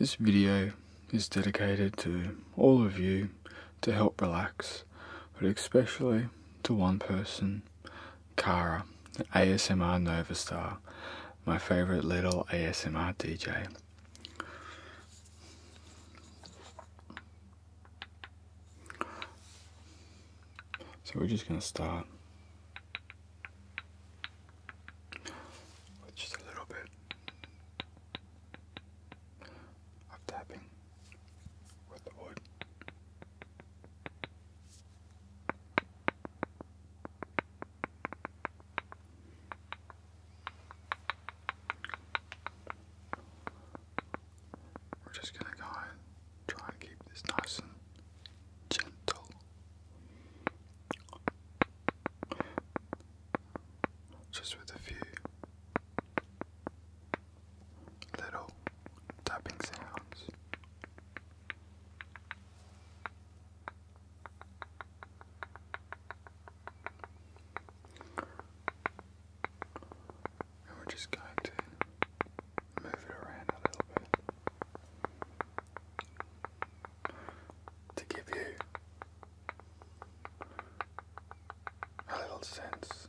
This video is dedicated to all of you to help relax, but especially to one person, Kara, the ASMR Nova Star, my favourite little ASMR DJ. So we're just going to start just a little bit of tapping with the wood. We're just going to go and try and keep this nice and gentle. Just with a few little tapping sounds. And we're just going to move it around a little bit to give you a little sense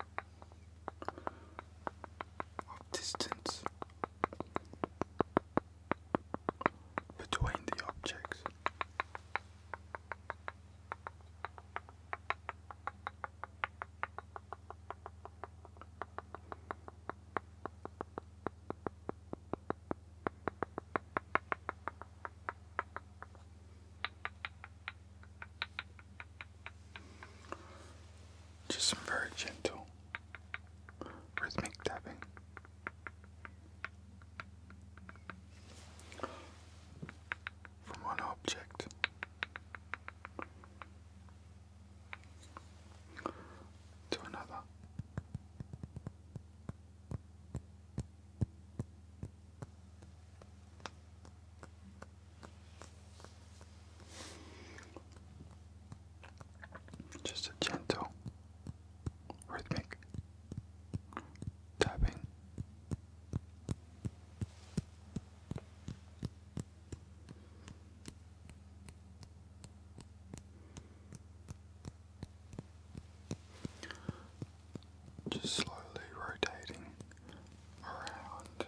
of distance between the objects. Just some very gentle rhythmic tapping. From one object to another. Just a gentle, rhythmic tapping. Just slowly rotating around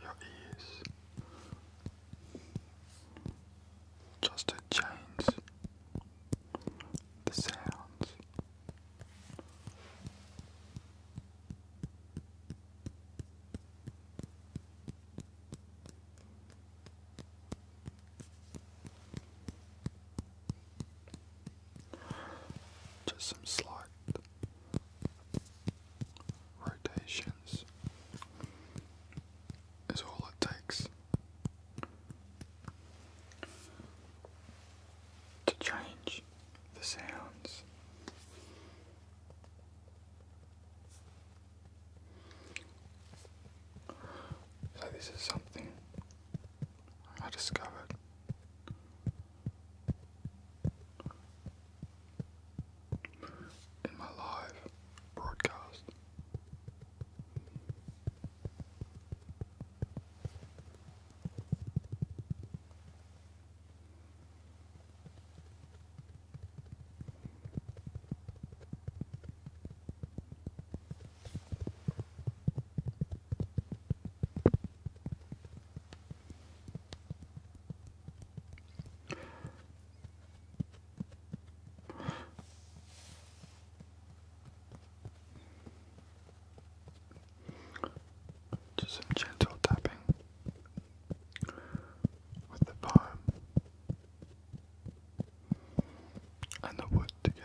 your ears just to change the sounds. Just some slight rotations is all it takes to change the sounds. So this is something I discovered. In my live broadcast, just some gentle tapping with the palm and the wood together.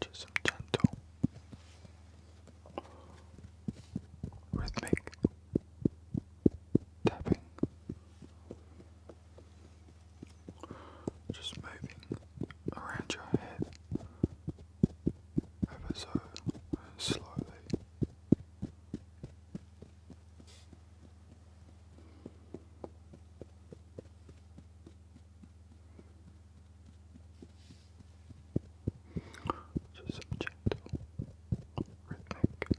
Do some gentle rhythmic tapping, just moving around your head ever so slowly. Just some gentle rhythmic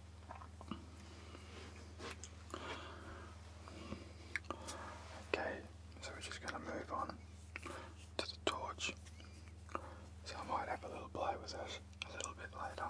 Okay, so we're just going to move on to the torch. So I might have a little play with this a little bit later.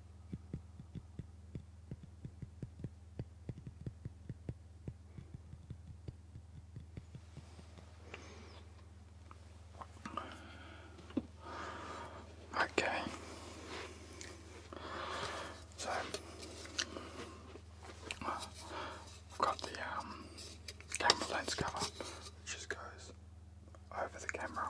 Okay. So I've got the um, camera lens cover, which just goes over the camera.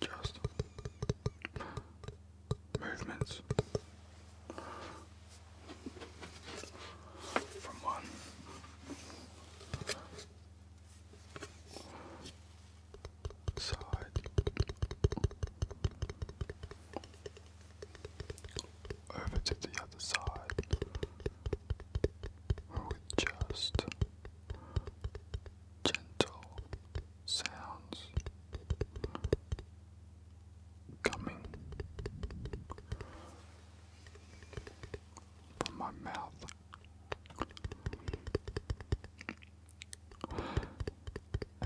Just movements from one side over to the other side with just gentle sounds coming from my mouth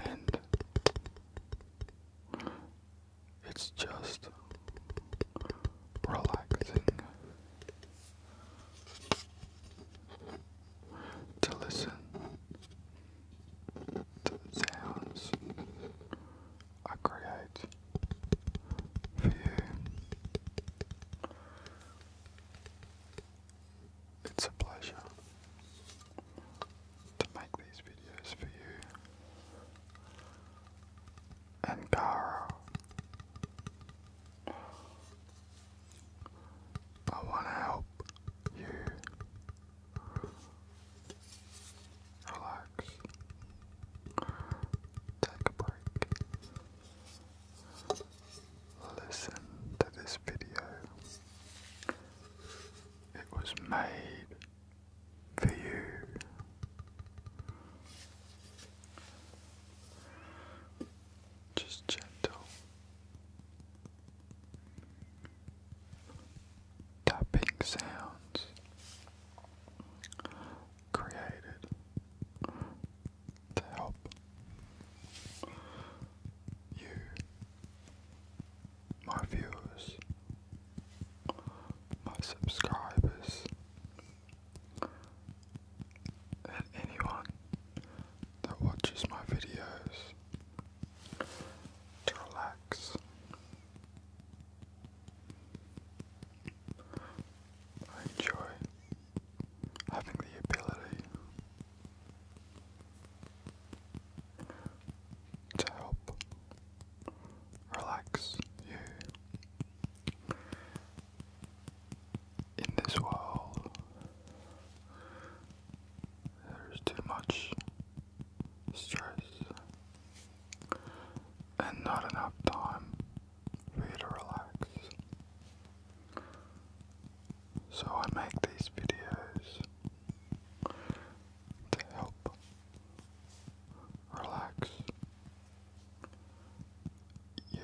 and it's just relaxing to listen to sounds I it's a pleasure to make these videos for you and Kara. I want to help you relax, take a break, listen to this video, it was made for you. Just gentle tapping sounds created to help you my viewers, my subscribers, and anyone that watches my videos to relax. I enjoy having the ability to help relax you. In this world, there is too much stress and not enough time for you to relax. So I make these videos to help relax you.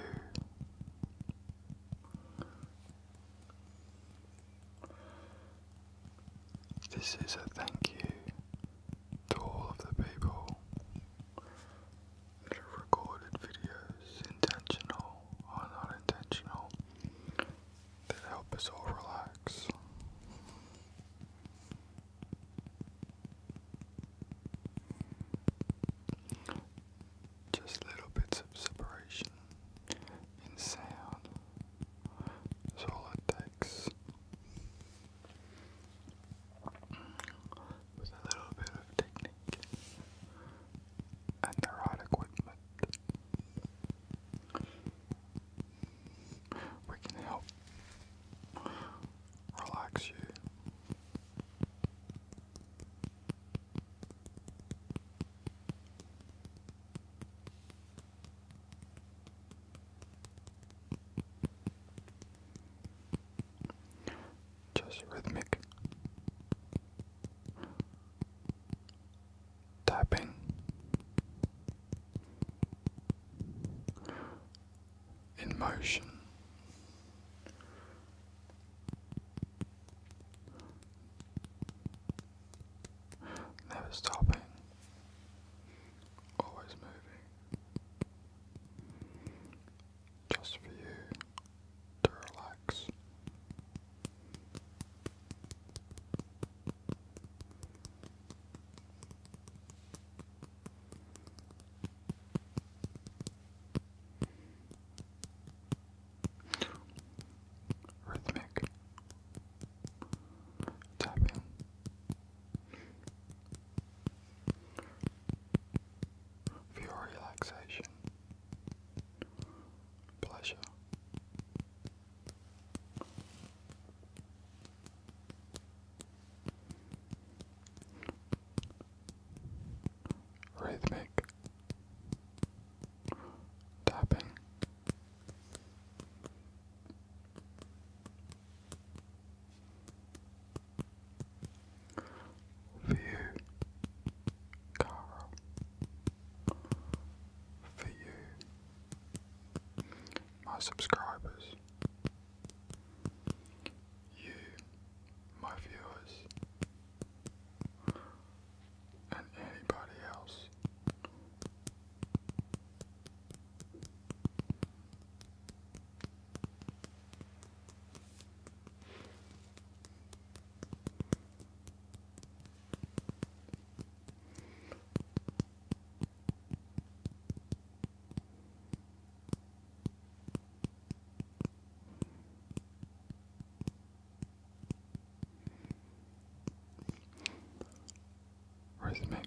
This is a thank you to all of the people that have recorded videos, intentional or not intentional, that help us all relax. Just little bits of separation in sound is all it takes. With a little bit of technique and the right equipment. We can help relax you. Just rhythmic tapping. In motion, never stopping, always moving, just for you to relax. Rhythmic tapping. For relaxation, pleasure, Rhythmic tapping. View Caro for you, my subscribers, you, my viewers, and anybody else. Rhythmic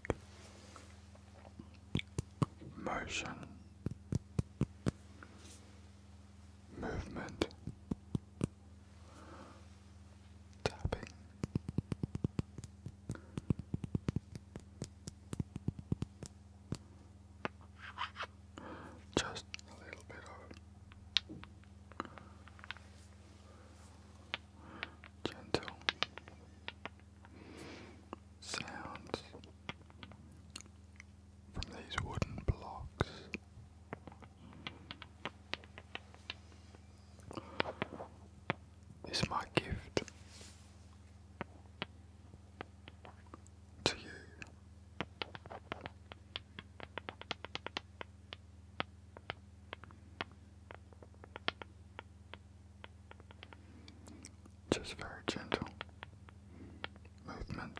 motion movement tapping. Just a little bit of gentle sounds from these wooden blocks is my gift to you. Just very gentle movement.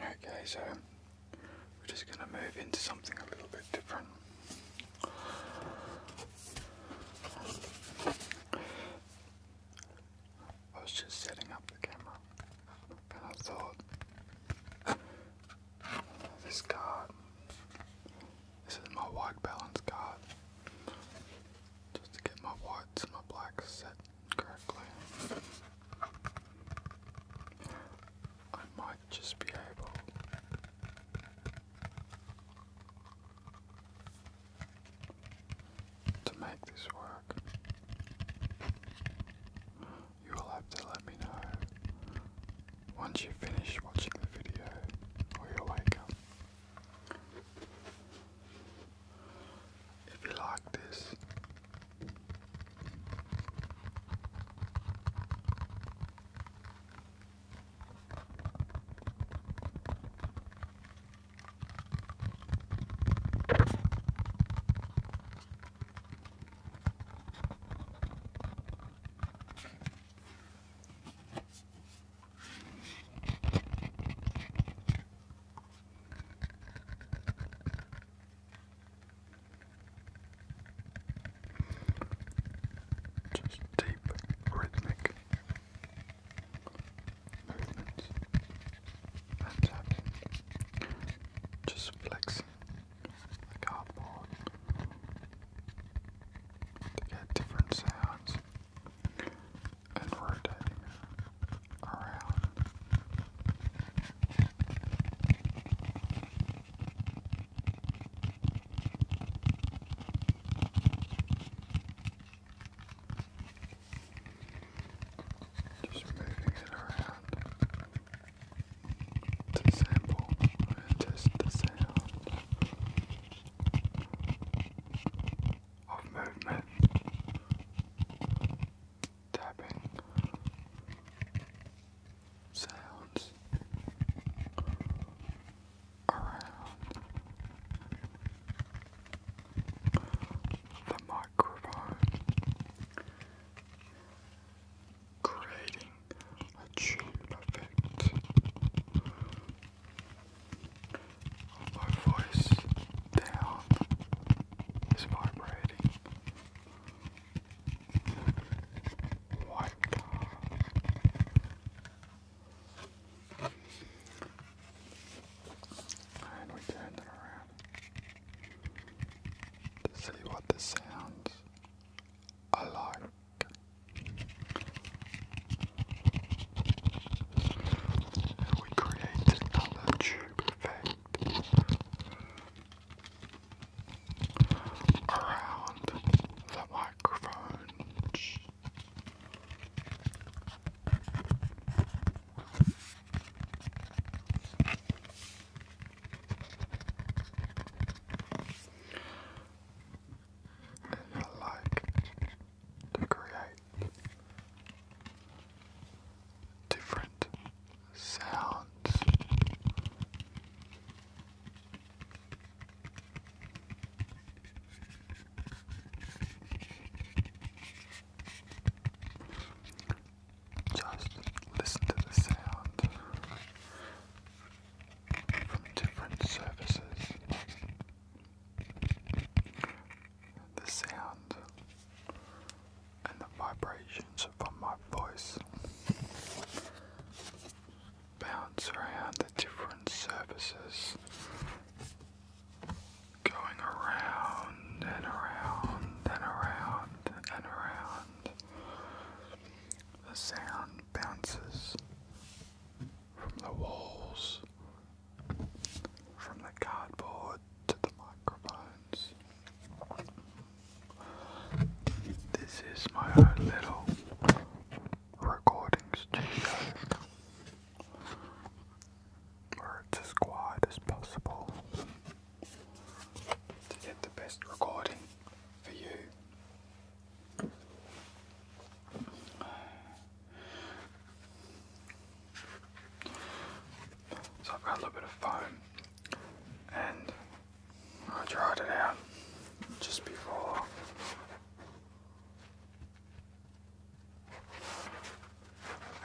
Okay, so we're just going to move into something a little bit different. I was just setting up the camera and I thought this card. This is my white balance card. Just to get my whites my blacks set correctly. I might just be able to make this work you will have to let me know once you finish watching the video or you wake up. If you like this, just deep, rhythmic movements and tapping. Just flexing the cardboard to get different sounds and rotating around. Just moving it around to sample just the sound of movement tapping sounds around the microphone creating a tube effect my voice down is vibrating white and we turned it around to see what the sounds like we create another tube effect around the microphones and I like to create different sounds. Just listen to the sound from different surfaces. The sound and the vibrations from my voice bounce around the different surfaces, going around and around and around and around. The sound bounces from the walls, from the cardboard to the microphones. This is my own little recording studio where it's as quiet as possible to get the best recording for you. So I've got a little bit of foam and I dried it out just before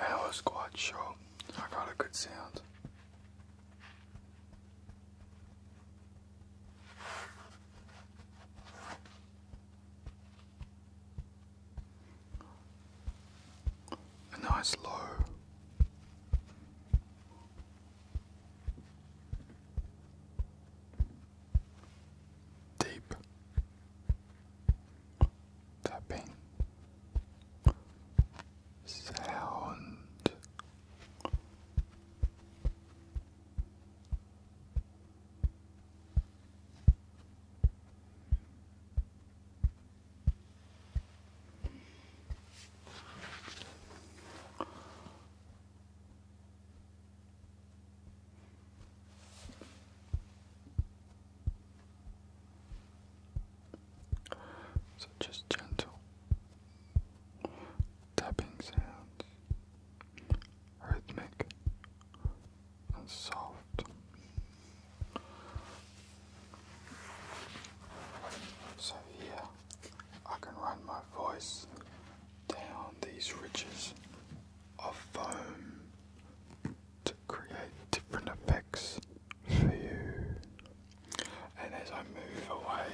I was quite sure I got a good sound. A nice low. Deep tapping sound so just gentle, tapping sounds, rhythmic and soft. So here I can run my voice down these ridges of foam to create different effects for you. And as I move away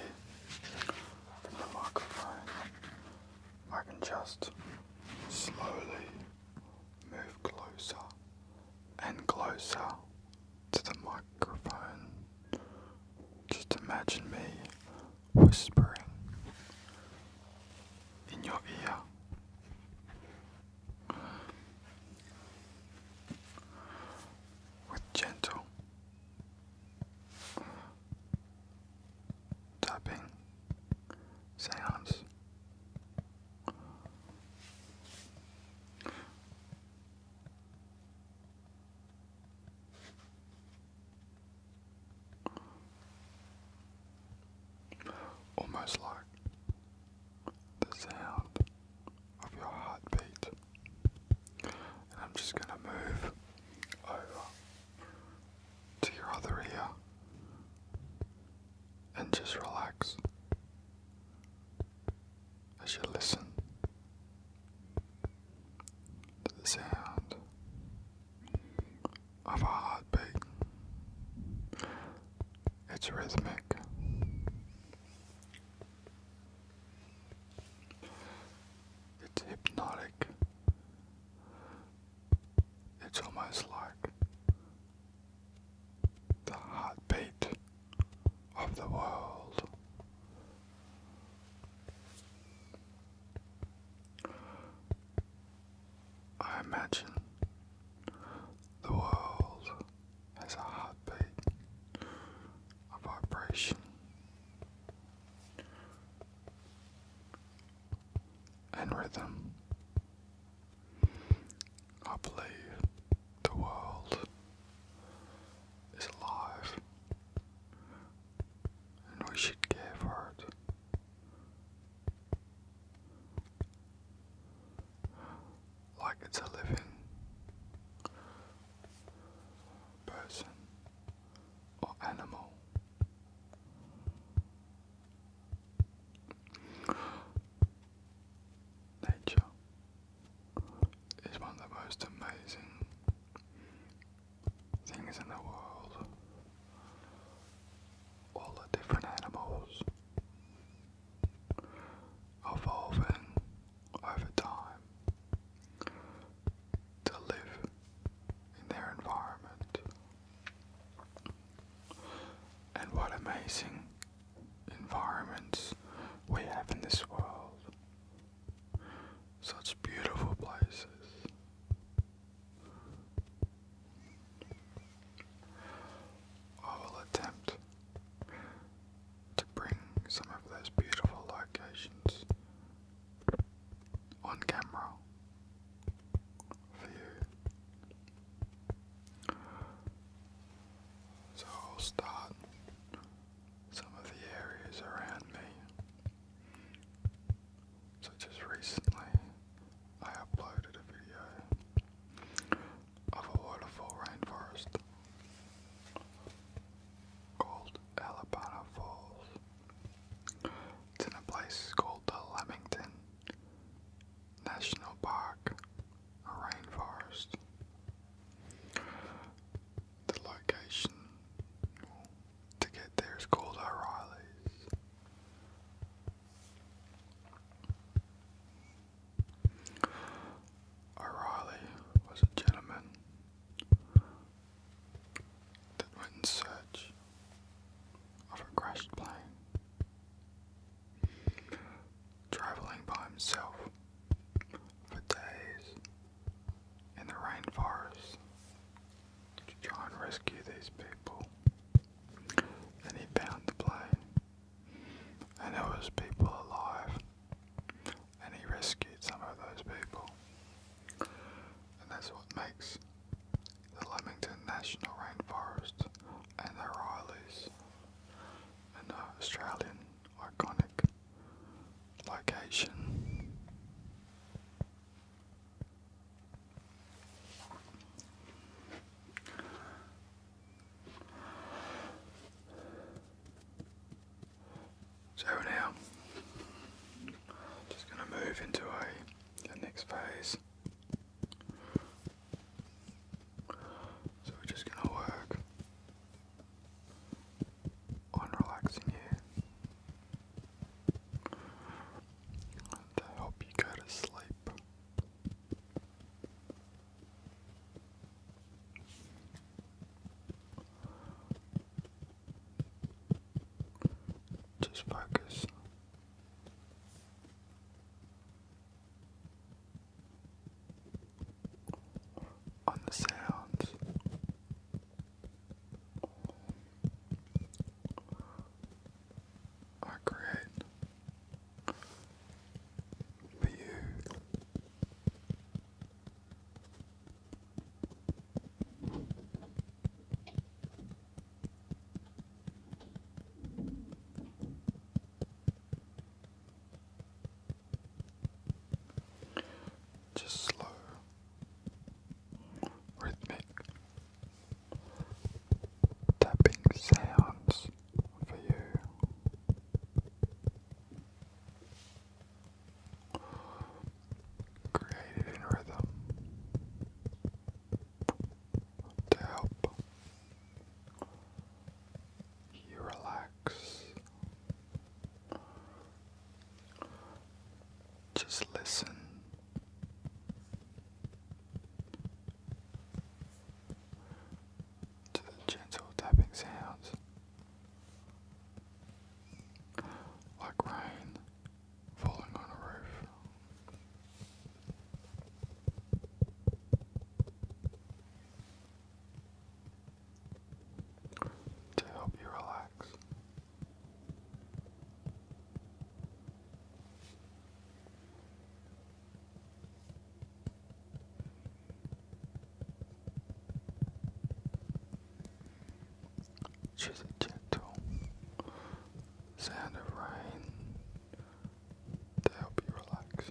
from the microphone, I can just slowly move closer and closer to the microphone. Just imagine me whispering in your ear. With gentle tapping sounds. Almost like the sound of your heartbeat. And I'm just going to move over to your other ear and just relax as you listen to the sound of a heartbeat. It's rhythmic. It's hypnotic. It's almost like the heartbeat of the world. I imagine the world has a heartbeat, a vibration and rhythm. I the world is alive and we should care it. Like it's a living person or animal. Nature is one of the most amazing things in the world. All the different animals evolving over time to live in their environment. And what amazing environments we have in this world. Such beautiful places. I will attempt to bring some of those beautiful locations on camera for you. So I'll start some of the areas around me. So just recently I uploaded a video of a waterfall rainforest Cold. Called Alabama Falls. It's in a place called the Lamington National Park, a rainforest. The location to get there is called O'Reilly's. O'Reilly was a gentleman that went in search of a crashed plane, traveling by himself for days in the rainforest to try and rescue these people. And he found the plane, and there was people alive and he rescued some of those people. And that's what makes the Leamington National Rainforest and the Rileys an Australian iconic location. So now, just going to move into a, next phase. So we're just going to work on relaxing you to help you go to sleep. Just focus. On the sounds I create for you just slow, rhythmic tapping sounds for you created in rhythm to help you relax. Just listen to the gentle tapping sounds. Like rain falling on a roof. To help you relax. She's a gentle sound of rain to help you relax.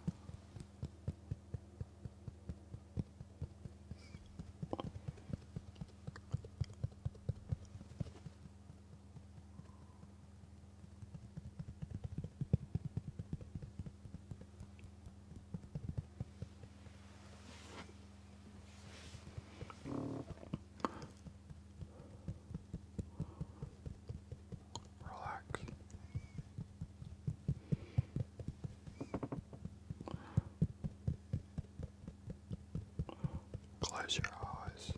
Relax. Close your eyes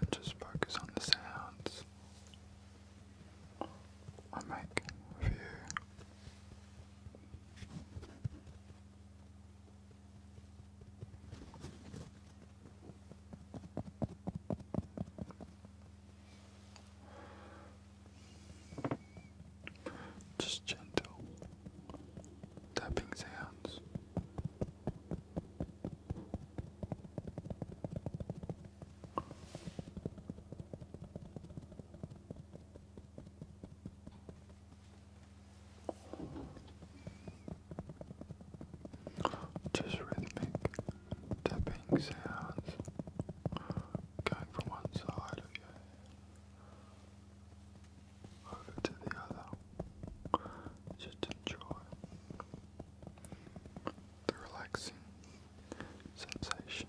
and just focus on the sounds I make for you. Just gentle tapping sounds. Just rhythmic tapping sounds going from one side of your head over to the other. Just enjoy the relaxing sensation.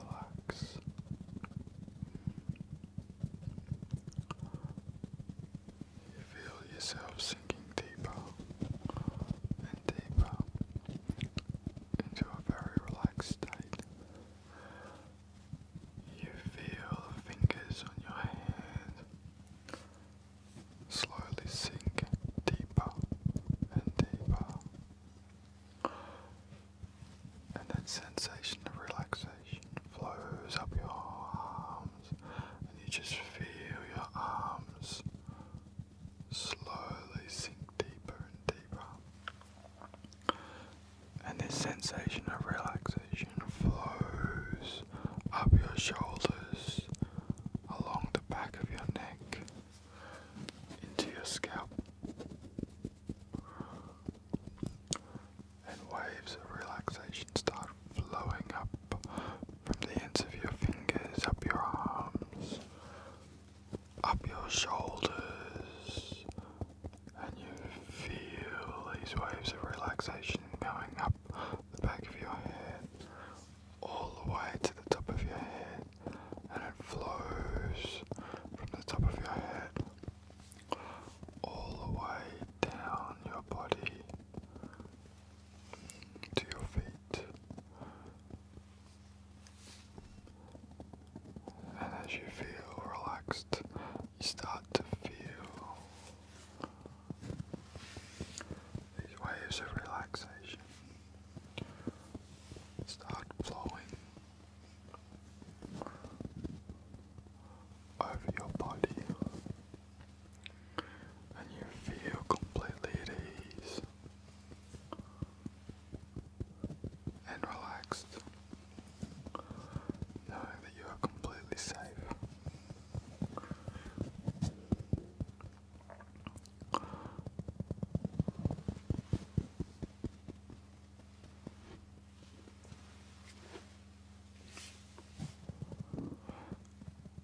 Relax. You feel yourself sinking deeper and deeper into a very relaxed state. You feel the fingers on your hand slowly sink deeper and deeper. And that sensation of relaxation flows up your arms, and you just feel your arms slowly sink deeper and deeper. And this sensation of relaxation flows up your shoulders, along the back of your neck, into your scalp. And waves of relaxation start flowing up from the ends of your fingers, up your arms, up your shoulders, and you feel these waves of relaxation going up the back of your head, all the way to the top of your head, and it flows from the top of your head all the way down your body to your feet. And as you feel relaxed, you start to feel these waves of relaxation start flowing over your body, and you feel completely at ease and relaxed, knowing that you are completely safe.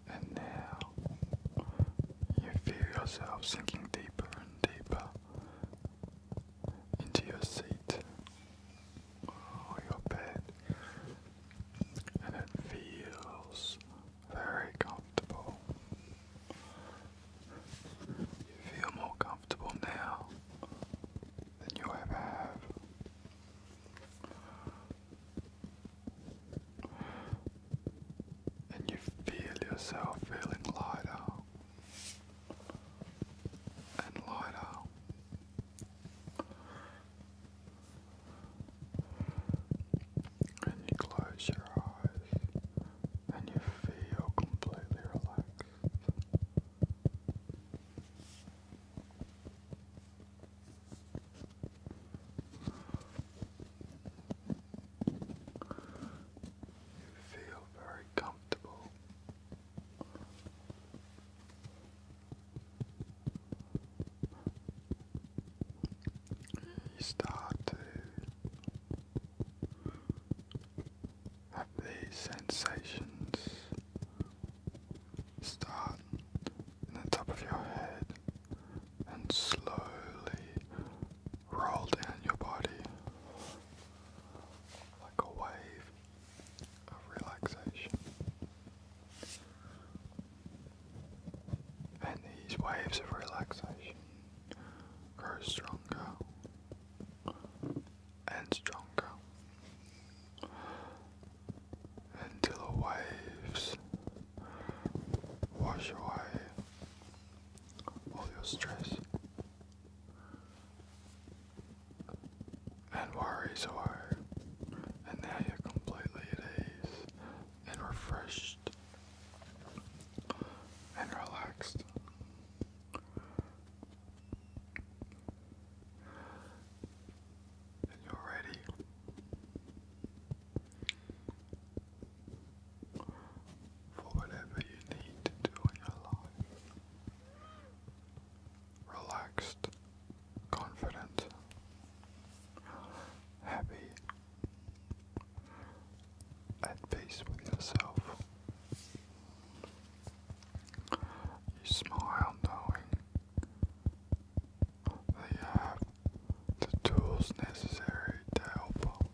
And now you feel yourself sinking deeper and deeper into your seat or your bed, and it feels very comfortable. You feel more comfortable now than you ever have and you feel yourself feeling lighter and lighter. And you close your eyes and you feel completely relaxed. You feel very comfortable. You start to have these sensations start in the top of your head and slowly Roll down your body like a wave of relaxation. And these waves of relaxation grow stronger and stronger until the waves wash away all your stress and worries away, and now you're completely at ease and refreshed and relaxed. And you're ready for whatever you need to do in your life. Relaxed, confident, happy, at peace with yourself. You smile knowing that you have the tools necessary to help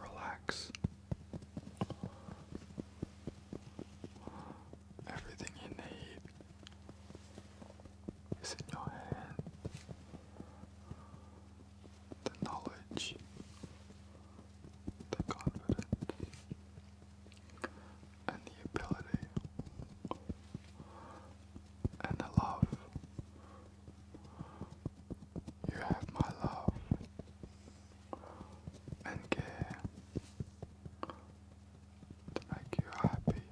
Relax. Everything you need is in your hand. The knowledge, the confidence, and the ability and the love. You have my love and care to make you happy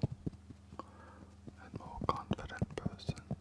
and more confident person.